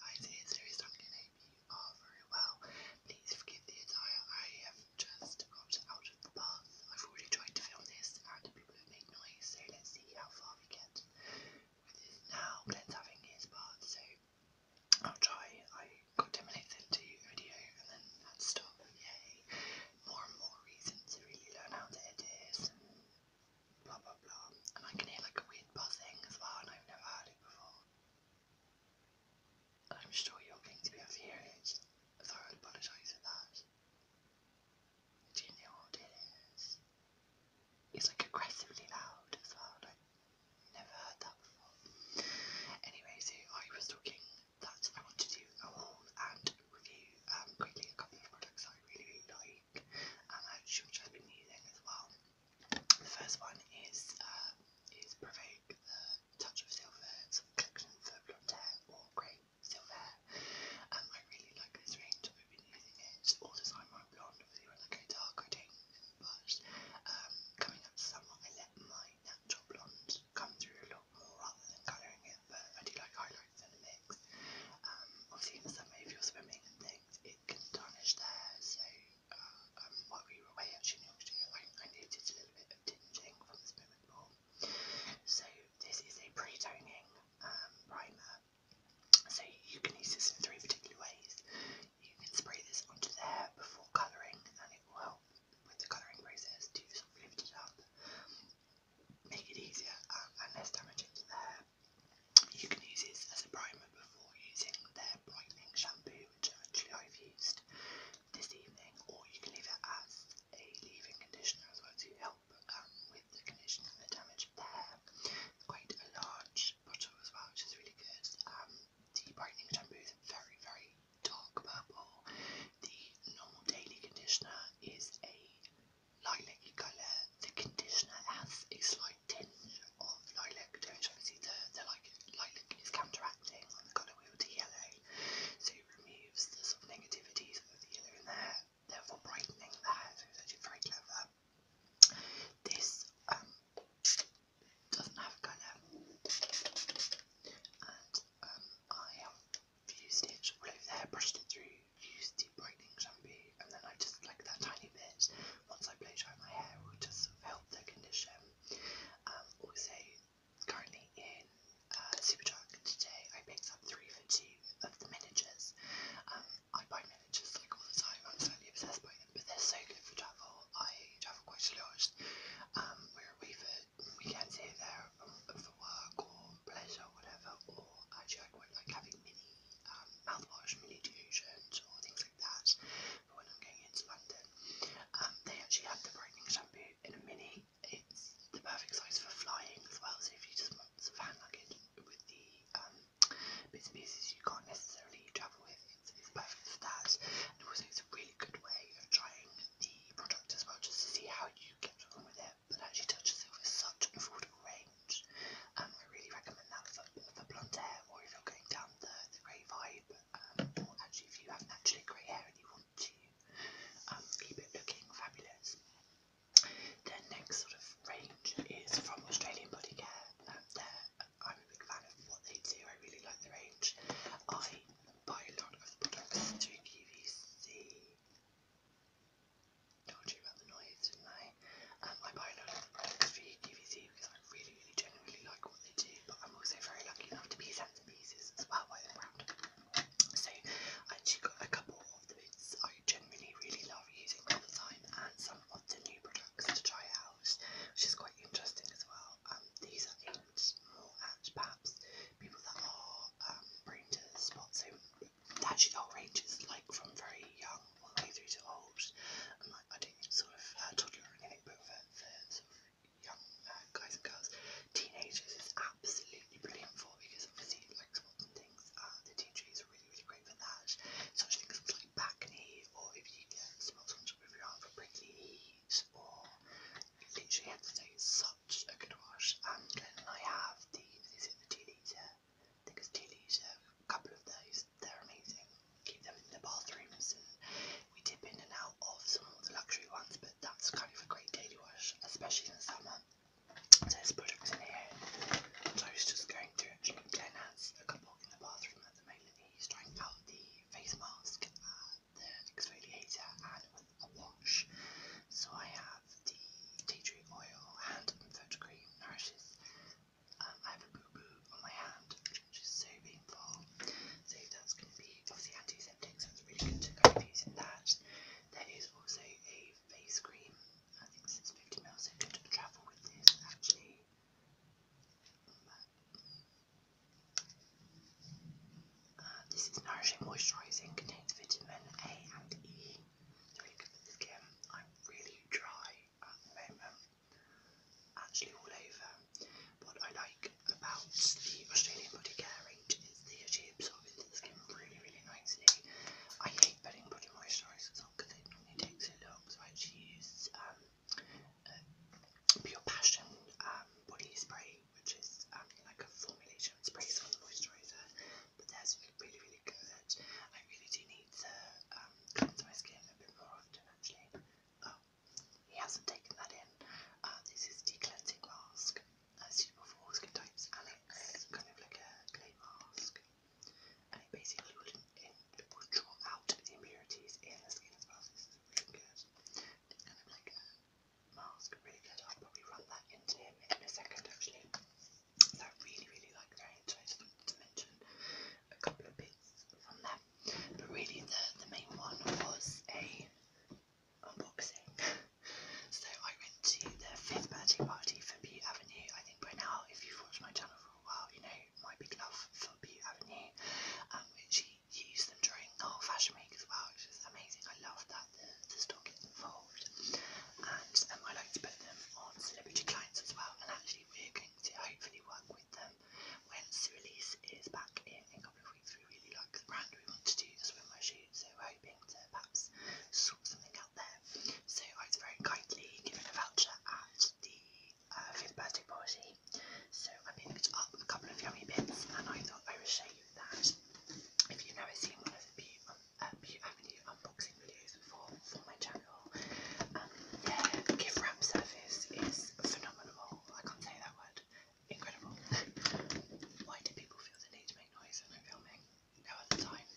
Guys, it is Louis talking. I hope you are ah, very well. Please forgive the attire. I have just got out of the bath. I've already tried to film this and people have made noise, so let's see how far we get with this now. Glenn's having his so I'll try. I got 10 minutes into a video and then had to stop. Yay. More and more reasons to really learn how to edit blah blah blah. And I can hear like a weird buzzing as well, and I've never heard it before. I'm sure you're going to be infuriated, so I apologise for that. Do you know what it is? like aggressively loud as well, never heard that before. Anyway, so I was talking that I want to do a haul and review um, quickly a couple of products I really, really like week. Um, I hope you using as well. The first one is uh, is provoke uh, touch of silver, collection for blonde or grey silver. Um, I really like this range. I've been using it all the time. I'm blonde, obviously when I dark, I do But um, coming up to summer, I let my natural blonde come through a lot more rather than colouring it. But I do like highlights and a Um, obviously in the summer, if you're swimming and things, can tarnish there, so uh, um, we were away actually in I, I a little bit of tinging from the swimming pool. So this is a pre-toning um, primer. So you can use this in three particular ways. You can spray this onto the before colouring, and it will help with the colouring process to sort of lift it up, make it easier um, and less damaging to the you can use this as a primer before using their brightening shampoo, which actually I've used this evening, or you can leave it as a leave conditioner as well to help um, with the conditioning and the damage of quite a large bottle as well, which is really good. Um, the brightening shampoo is very, very dark purple. The normal daily conditioner is a lilac colour. The conditioner has a slight tinge of lilac to Obviously, the, the like, lilac is counteracting on the colour wheel to yellow, so it removes the sort of negativities of the yellow in there, therefore brightening that. So it's actually very clever. This um, doesn't have colour, and um, I have used it all over there, brushed it through use deep brightening shampoo and then I just like that tiny bit once I blow dry my hair will just sort of help the condition. Um, also, currently in uh, Superdrug today I picked up three for two of the miniatures. Um, I buy miniatures like all the time, I'm slightly obsessed by them, but they're so good for travel. I travel quite a lot. Um, we're away for weekends here there um, for work or pleasure or whatever, or actually I quite like having mini um, mouthwash mini-deodorant or things like that for when I'm going into London. Um, they actually have the brightening shampoo in a mini. It's the perfect size for flying as well, so if you just want some fan luggage with the um, bits and pieces you can't necessarily travel with, it's, it's perfect for that. And also it's a really good way of trying the product as well, just to see how you get on with it it, but actually Touch of such affordable range. Um, I really recommend that for, for blonde hair or if you're going down the, the grey vibe, um, or actually if you have naturally grey hair and you want to um, keep it looking fabulous. Their next sort of range is from Australian Body Care. Um, I'm a big fan of what they do, I really like the range. I buy a lot of products through told you about the noise, didn't I? Um, I buy a lot of products for QVC because I really, really genuinely like what they do, but I'm also very lucky enough to be sent to pieces as well by the brand. So I actually got a couple of the bits I genuinely really love using all the time and some of the new products to try out, which is quite interesting as well. Um, these are aimed more at perhaps people that are um, prone to spots, that she got ranges like from very young all the way through to old. And like I didn't sort of uh, toddler or anything, but for, for sort of young uh, guys and girls, teenagers is absolutely brilliant for because obviously like sports and things, uh, the DJs are really really great for that. Such things as like back knee or if you get spots on top of your arm for prickly heat or literally head to toe. So such a good wash. And Glenn and I have the, these are the tea leaves here. I think it's tea leaves here, a couple of those. They're amazing. Keep them in the bathrooms and we dip in and out of some of the luxury ones, but that's kind of a great daily wash, especially in the summer. So there's products in here. So I was just going through actually. Glenn has a couple in the bathroom at the moment. He's trying out the face mask, uh, the exfoliator, and a wash. So I have the tea tree oil hand and foot cream nourishes. Um, I have a boo boo on my hand, which is so painful. So that's going to be obviously antiseptic, so it's really good to kind of that. There is also a face cream. I think this 50 ml, so good to travel with this actually. Uh, this is nourishing, moisturising, contains vitamin A and E. really good for the skin. I'm really dry at the moment, actually all over. What I like about the Australian Body Care range is that it into the skin really, really nicely. I hate putting body moisturisers on because it takes so long, so I use um, uh, Pure Passion um, Body Spray which is um, like a formulation spray for moisturizer, but theirs really, really good. I really do need to um, cleanse my skin a bit more often, actually. Oh, he hasn't taken that in. Uh, this is the cleansing mask, uh, suitable for all skin types, and it's kind of like a clay mask, and it basically will, in, will draw out the impurities in the skin as well. So kind of like a Miles really good. I'll probably run that into him in a second actually. I really, really like that. I just wanted to mention a couple of bits from them. But really the, the main one was a unboxing. so I went to their fifth birthday party for Butte Avenue. I think by now if you've watched my channel for a while, you know my big love for Butte Avenue. Um, which she use them during the whole fashion week as well, which is amazing. I love that the, the store gets involved. And um, I like to put them on celebrity clients as well. And actually, we're going to hopefully work with them when Sue Elise is back in a couple of weeks. We really like the brand, we want to do the swimwear shoot, so we're hoping to perhaps sort something out there. So I was very kindly given a voucher at the uh, fifth birthday party. So I picked up a couple of yummy bits and I thought I would show you that if you've never seen one of the Beaut um, uh, Avenue unboxing videos before for my channel, um, their gift wrap service is phenomenal. I can't say that word. Incredible. Why do people feel the need to make noise when I'm filming? No other time.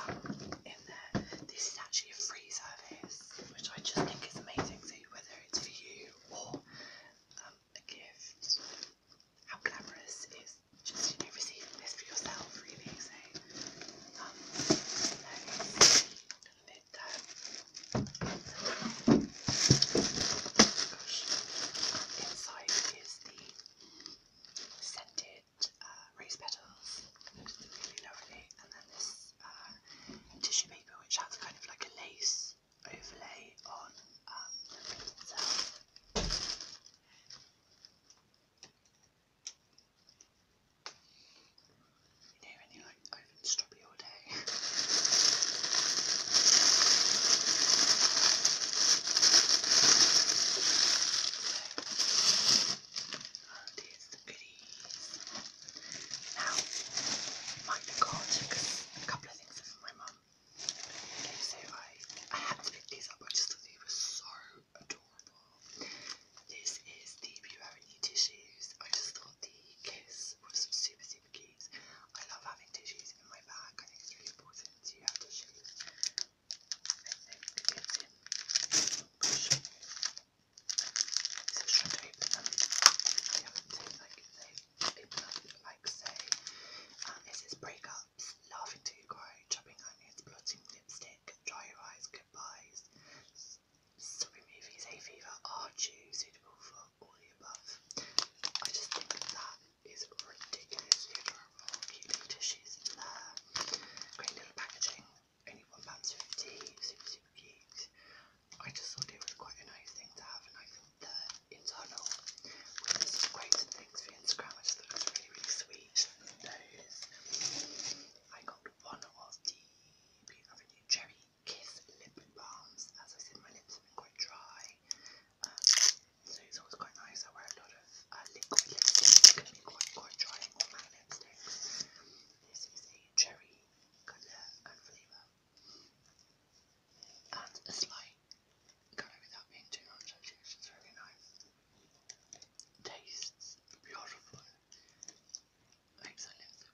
Um, in there, this is actually a free service, which I just think is amazing. So whether it's for you or um, a gift. How glamorous is just, you receiving this for yourself, really. So, um, nice. Um, inside is the scented uh, rose petals, really lovely, and then this uh, tissue paper which has kind of like a lace I overlay on um, the ring itself. You know when you like open strawberry all day. so, and here's the goodies. Now, might be God, because a couple of things are my mum. Okay, so I, I had to pick these up, I just thought they were so adorable. This is the Bureau tissues. I just thought the case was super, super cute. I love having tissues in my bag, I think it's really important to have tissues. I because they like say this is breakups, laughing till you cry, chopping onions, blotting lipstick, dry your eyes, goodbyes, soppy movies, hay fever, are you suitable for all the above? I just think that is ridiculously adorable. Cute little tissues in there, great little packaging, only one pound fifty, super super cute. I just thought it was quite a nice thing to have, and I think the internal with some quotes and things for Instagram, I just thought it was really, really sweet. I got one of the Beauty Avenue Cherry Kiss Lip Balms. As I said, my lips have been quite dry, um, so it's always quite nice. I wear a lot of uh, liquid lipsticks, it can be quite, quite drying on my lipsticks. This is a cherry colour and flavour adds a slight colour without being too much actually, really nice. Tastes beautiful. Makes her Oh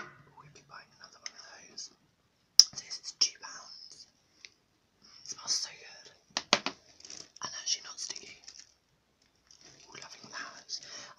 yeah. We'll be buying another one of those. This is £2. It smells so good. And actually not sticky. Ooh, loving that.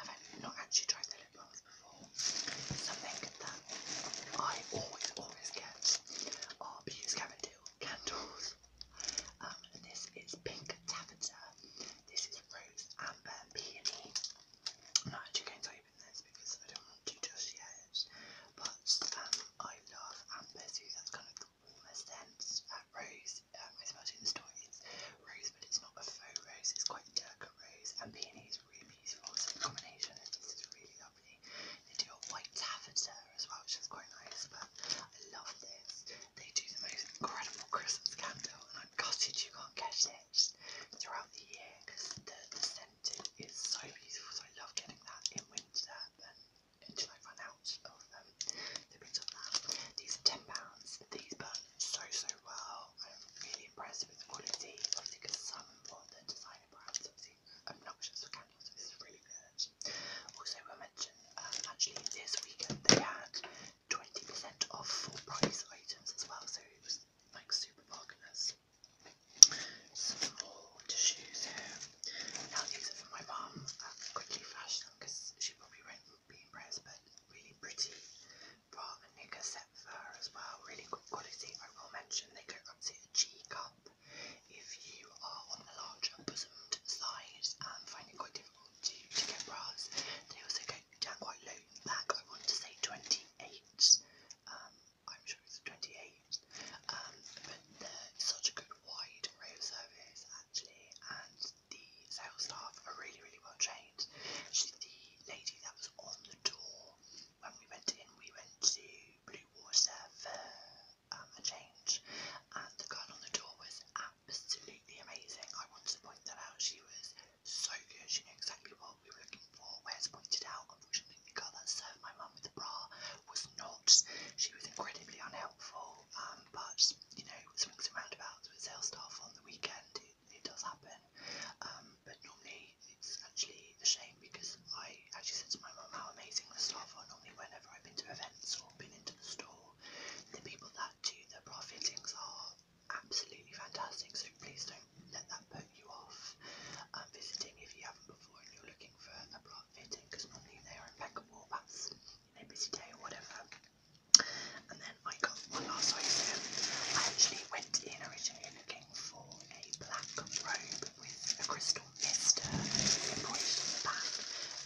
I've not actually tried the lip balms before. Something that I always, always get are Beauty's candles. Um, this is pink taffeta. This is rose, amber, peony. I'm not actually going to open this because I don't want to just yet. But um, I love amber, so that's kind of the almost ends at rose. Um, I suppose in the story it's rose, but it's not a faux rose, it's quite a delicate rose. And peony is really beautiful, so the combination of this is really lovely. They do a white taffeta as well, which is quite nice, but I love this. They do the most incredible Christmas candle, and I'm gutted you can't get it throughout the year because the, the scent is so beautiful. So I love getting that in winter and until I run out of um, the bits of that. These are £10. These burn so, so well. I'm really impressed with the quality. Obviously, because some of the designer brands obviously obnoxious for candles, so really good. Also, I mentioned um, actually this weekend they had 20% off full price items as well, so it was like super bargainers. Some more here. I'll use it for my mom. Um, quickly flash them because she probably won't be impressed, but really pretty bra and knicker set for her as well. Really good quality. I will mention they go up to a G cup if you are on the larger bosomed size and um, find it quite difficult to, get bras. They also go down quite low in I want to say 28. Um, I'm sure it's 28 used. Um, but they're such a good wide array of service actually, and the sales staff are really, really well trained. She's the lady that was on the door when we went in. We went to Blue Water for um, a change, and the girl on the door was absolutely amazing. I wanted to point that out. She was so good. She knew exactly what we were looking for, where to point it out. Unfortunately, the girl that served my mum with the bra was not. She was incredibly unhelpful, um, but you know, swings and roundabouts with sales staff on the weekend, it, it does happen. Um, but normally it's actually a shame because I actually said to my mum how amazing the staff are normally whenever I've been to events or been into the store. The people that do the bra fittings are absolutely fantastic, so please don't let that put you off um, visiting if you haven't before and you're looking for a block fitting because normally they are impeccable, that's you know, busy day or whatever. And then I got one last item. I actually went in originally looking for a black robe with a crystal mister embroidered on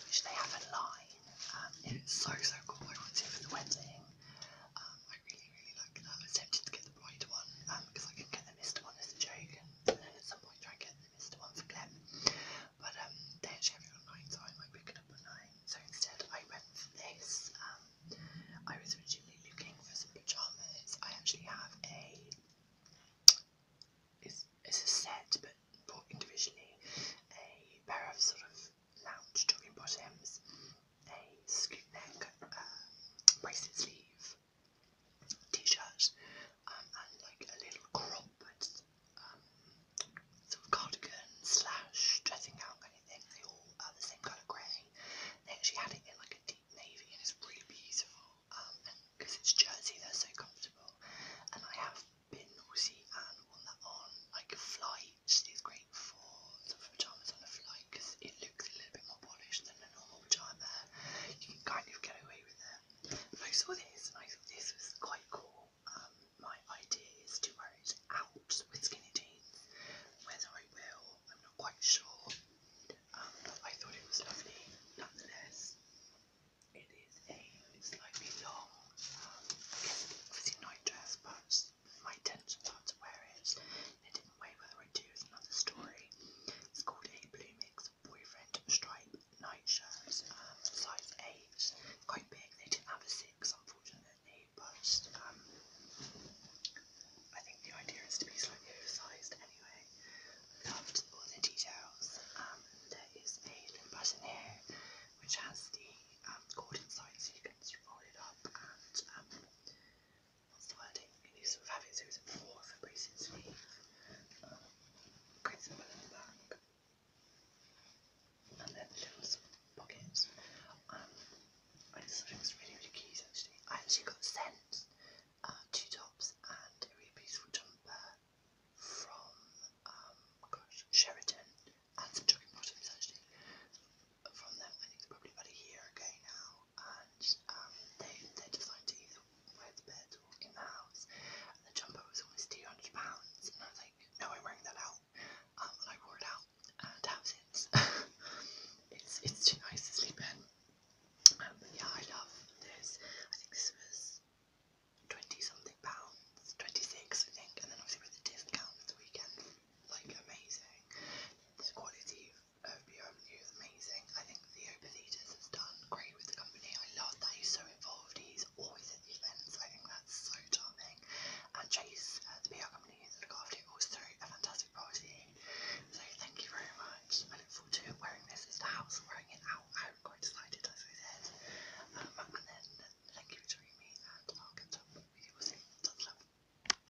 which they have a line. Um, it's so so cool. I want it for the wedding. Um, I really really like that. I was tempted to get the bright one, um, because I can get the Mr. one as a joke, and, then at some point try and get the Mr. one for Clem. But um, they actually have it on 9, so I might pick it up on 9. So instead, I went for this. Um, I was originally looking for some pyjamas. I actually have a. It's, it's a set, but bought individually. A pair of sort of lounge jogging bottoms, a scoop neck, um, bracelet sleeve, t-shirts um, and like a little crop with um, sort of cardigan slash dressing out. Anything They all are the same colour grey. They actually had it in like a deep navy and it's really beautiful. Um, because it's Jersey, they're so comfortable. And I have been naughty and worn that on like a flight. It's great for sort of pajamas on a flight because it looks a little bit more polished than a normal pajama you can kind of get away with it. I saw this and I thought this was quite cool. Um, my idea is to wear it out with skinny jeans. Whether I will, I'm not quite sure. Um, I thought it was lovely nonetheless. It is a slightly long, um, I dress, but my intention was to wear it in way, whether I do is another story. It's called A Blue Mix Boyfriend Stripe Nightshirt, um, size 8. quite big, they didn't have a 6, unfortunately, but um, I think the idea is to be slightly oversized anyway. Loved all the details. Um, there is a little button here which has the cord inside so you can roll it up and what's the wording? You can use sort of having series four for bracing sleeve, um, creates a the back, and then little pockets. Um, I just thought really, really cute actually. I actually got sent uh, two tops and a really beautiful jumper from um, oh gosh, Sheraton and some jogging bottoms actually from them. I think probably about a year ago now and um, they, they decided to either wear the bed or walk in the house. And the jumper was almost £200, and I was like, no, I'm wearing that out. Um, and I wore it out, and have since. it's, it's too nice to sleep in. Um, but yeah, I love this. I think this was 20 something pounds, 26 I think, and then obviously with the discount at the weekend, like amazing. The quality OBO is amazing. I think Theo Pethitas has done great with the company. I love that he's so involved. He's always at the events. I think that's so charming. And Chase, uh, the PR company that look after it, also a fantastic party. So thank you very much. I look forward to wearing this as the house, wearing it out. I'm quite excited, as I said. Um, and then thank you for joining me, and I'll catch up with you all soon. Lots love.